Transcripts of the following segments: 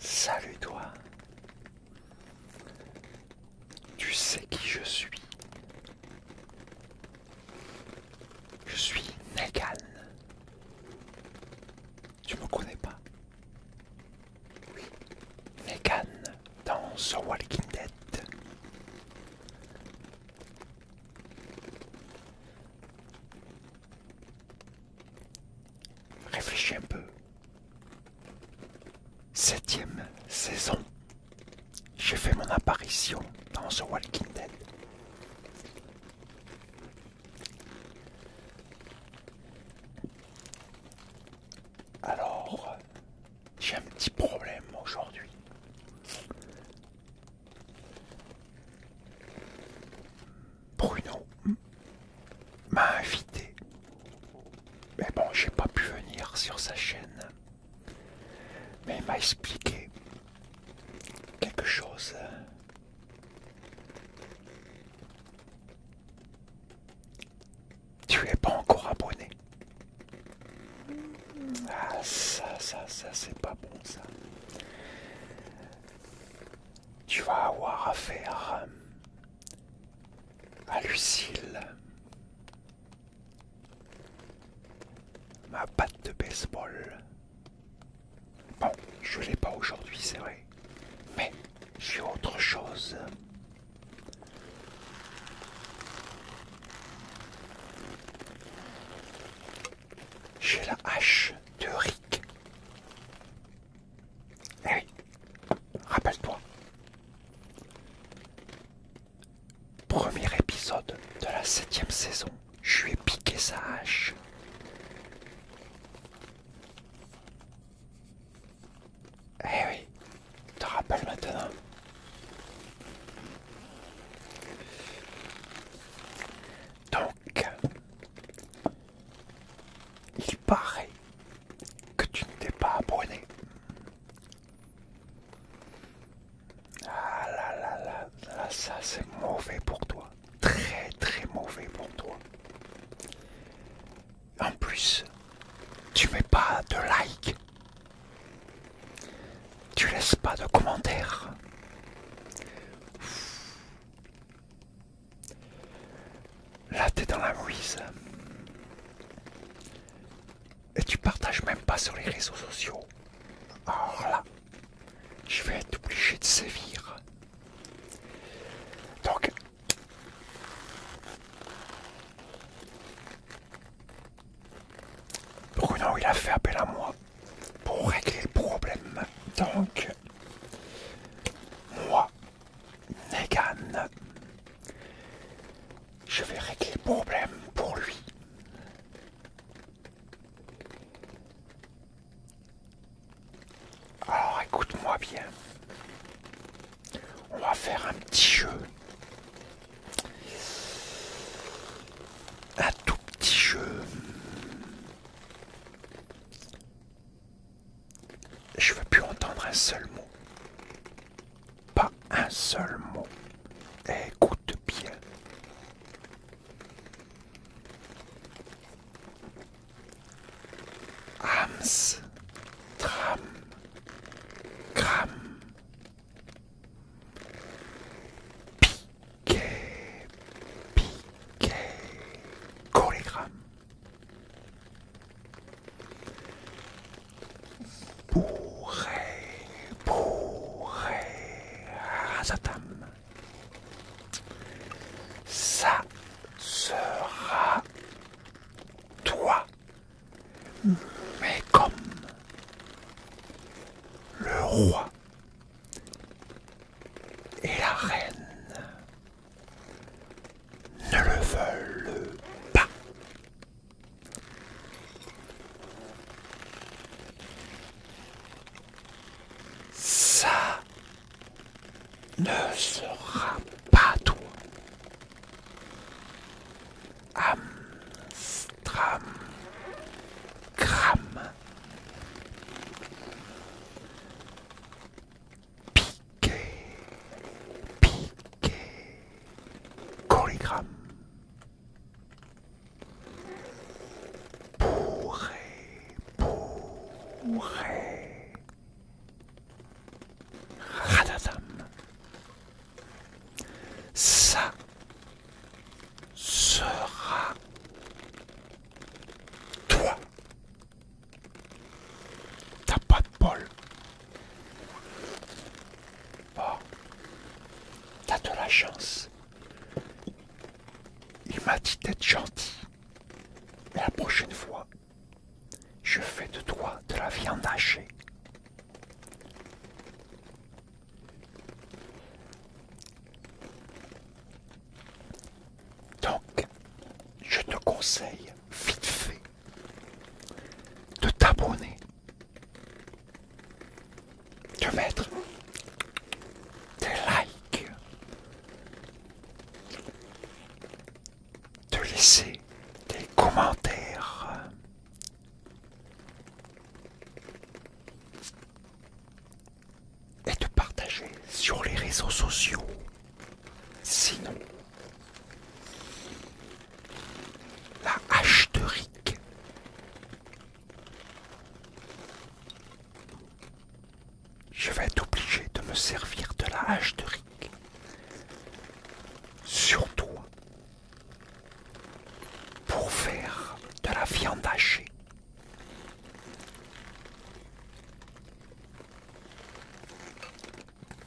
Salut toi Tu sais qui je suis Je suis Negan Tu me connais pas Oui Negan dans The Walking Dead Réfléchis un peu. Septième saison. J'ai fait mon apparition dans The Walking Dead. Alors, j'ai un petit problème aujourd'hui. Bruno m'a invité. Mais bon, j'ai pas pu venir sur sa chaîne. Mais il m'a expliqué quelque chose tu es pas encore abonné. Ah ça, ça, ça, c'est pas bon ça. Tu vas avoir affaire euh, à Lucille, ma patte de baseball. Bon, je l'ai pas aujourd'hui, c'est vrai, mais j'ai autre chose j'ai la hache de Rick. Eh oui, rappelle-toi. Premier épisode de la septième saison, je lui piqué sa hache. Eh oui, tu te rappelle maintenant. Donc, il paraît que tu ne t'es pas abonné. Ah là là, là ça c'est mauvais pour toi. Très très mauvais pour toi en plus, tu mets pas de like, tu laisses pas de commentaires. Là, t'es dans la mouise. Et tu partages même pas sur les réseaux sociaux. Alors là, je vais être obligé de sévir. Donc, Bruno, il a fait appel à moi pour régler le problème. Donc, moi, Negan, je vais régler le problème pour lui. Alors écoute-moi bien. On va faire un petit jeu. Un tout petit jeu. Je veux plus entendre un seul mot. Pas un seul mot. Écoute bien. Ams, tram, cram, piquet, piquet, collégramme, bourré, bourré, rasatam. Ça sera toi, mais comme le roi et la reine ne le veulent pas. Ça ne sera pas toi. Amstram, Gram, Piqué, Piqué, Colligramme, Pourré, pourré. Radadam. Ça sera toi. T'as pas de bol. Oh. T'as de la chance. Il m'a dit d'être gentil. la prochaine fois, je fais de toi de la viande hachée. Donc, je te conseille vite fait de t'abonner, de mettre des likes, de laisser des commentaires. Et de partager sur les réseaux sociaux. Sinon, la hache de je vais être obligé de me servir de la hache de Rick. Surtout pour faire de la viande hachée.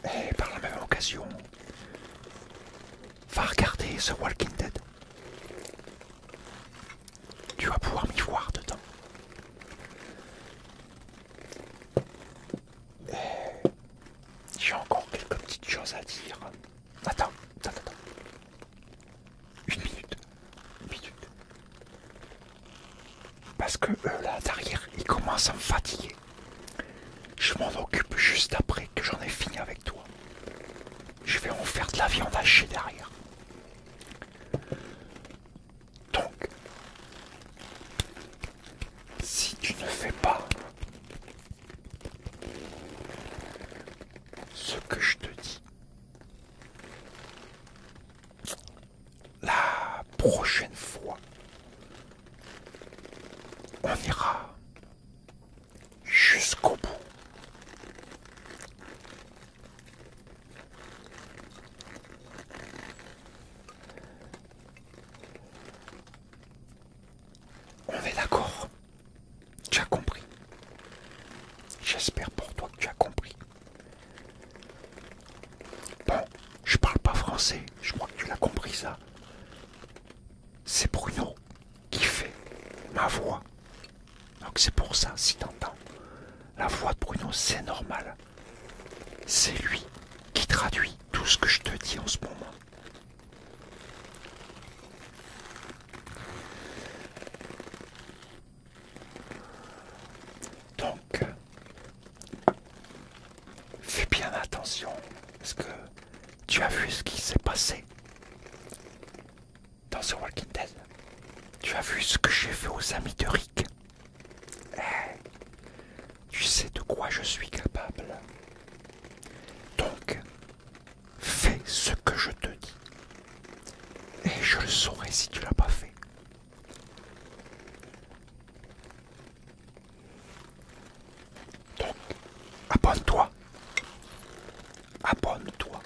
Et par la même occasion, va regarder The Walking Dead. Tu vas pouvoir m'y voir dedans. Eh, j'ai encore quelques petites choses à dire. Attends, attends, attends. Une minute. Une minute. Parce que eux là derrière, ils commencent à me fatiguer. Je m'en occupe juste après que j'en ai fini avec toi. Je vais en faire de la viande hachée derrière. Donc, si tu ne fais pas ce que je te dis, la prochaine fois, on ira jusqu'au bout. On est d'accord. Tu as compris. J'espère pour toi que tu as compris. Bon, je parle pas français. Je crois que tu l'as compris ça. C'est Bruno qui fait ma voix donc c'est pour ça, si t'entends la voix de Bruno, c'est normal. C'est lui qui traduit tout ce que je te dis en ce moment. Donc, fais bien attention, parce que tu as vu ce qui s'est passé dans ce Walking Dead. Tu as vu ce que j'ai fait aux amis de Rick eh, Tu sais de quoi je suis capable. Donc, fais ce que je te dis. Et je le saurai si tu l'as pas fait. Donc, abonne-toi abonne-toi.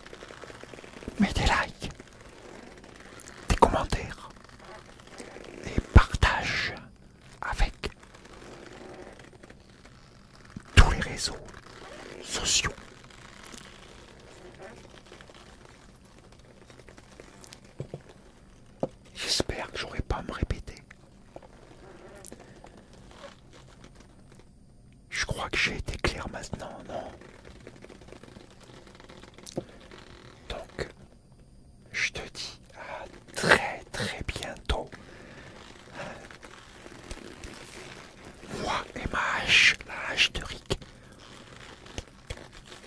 Mets des likes, des commentaires et partage avec tous les réseaux sociaux. J'espère que j'aurai pas à me répéter. Je crois que j'ai été clair maintenant, non Donc, je te dis à très très bientôt. Moi et ma hache, la hache de Rick,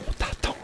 on t'attend.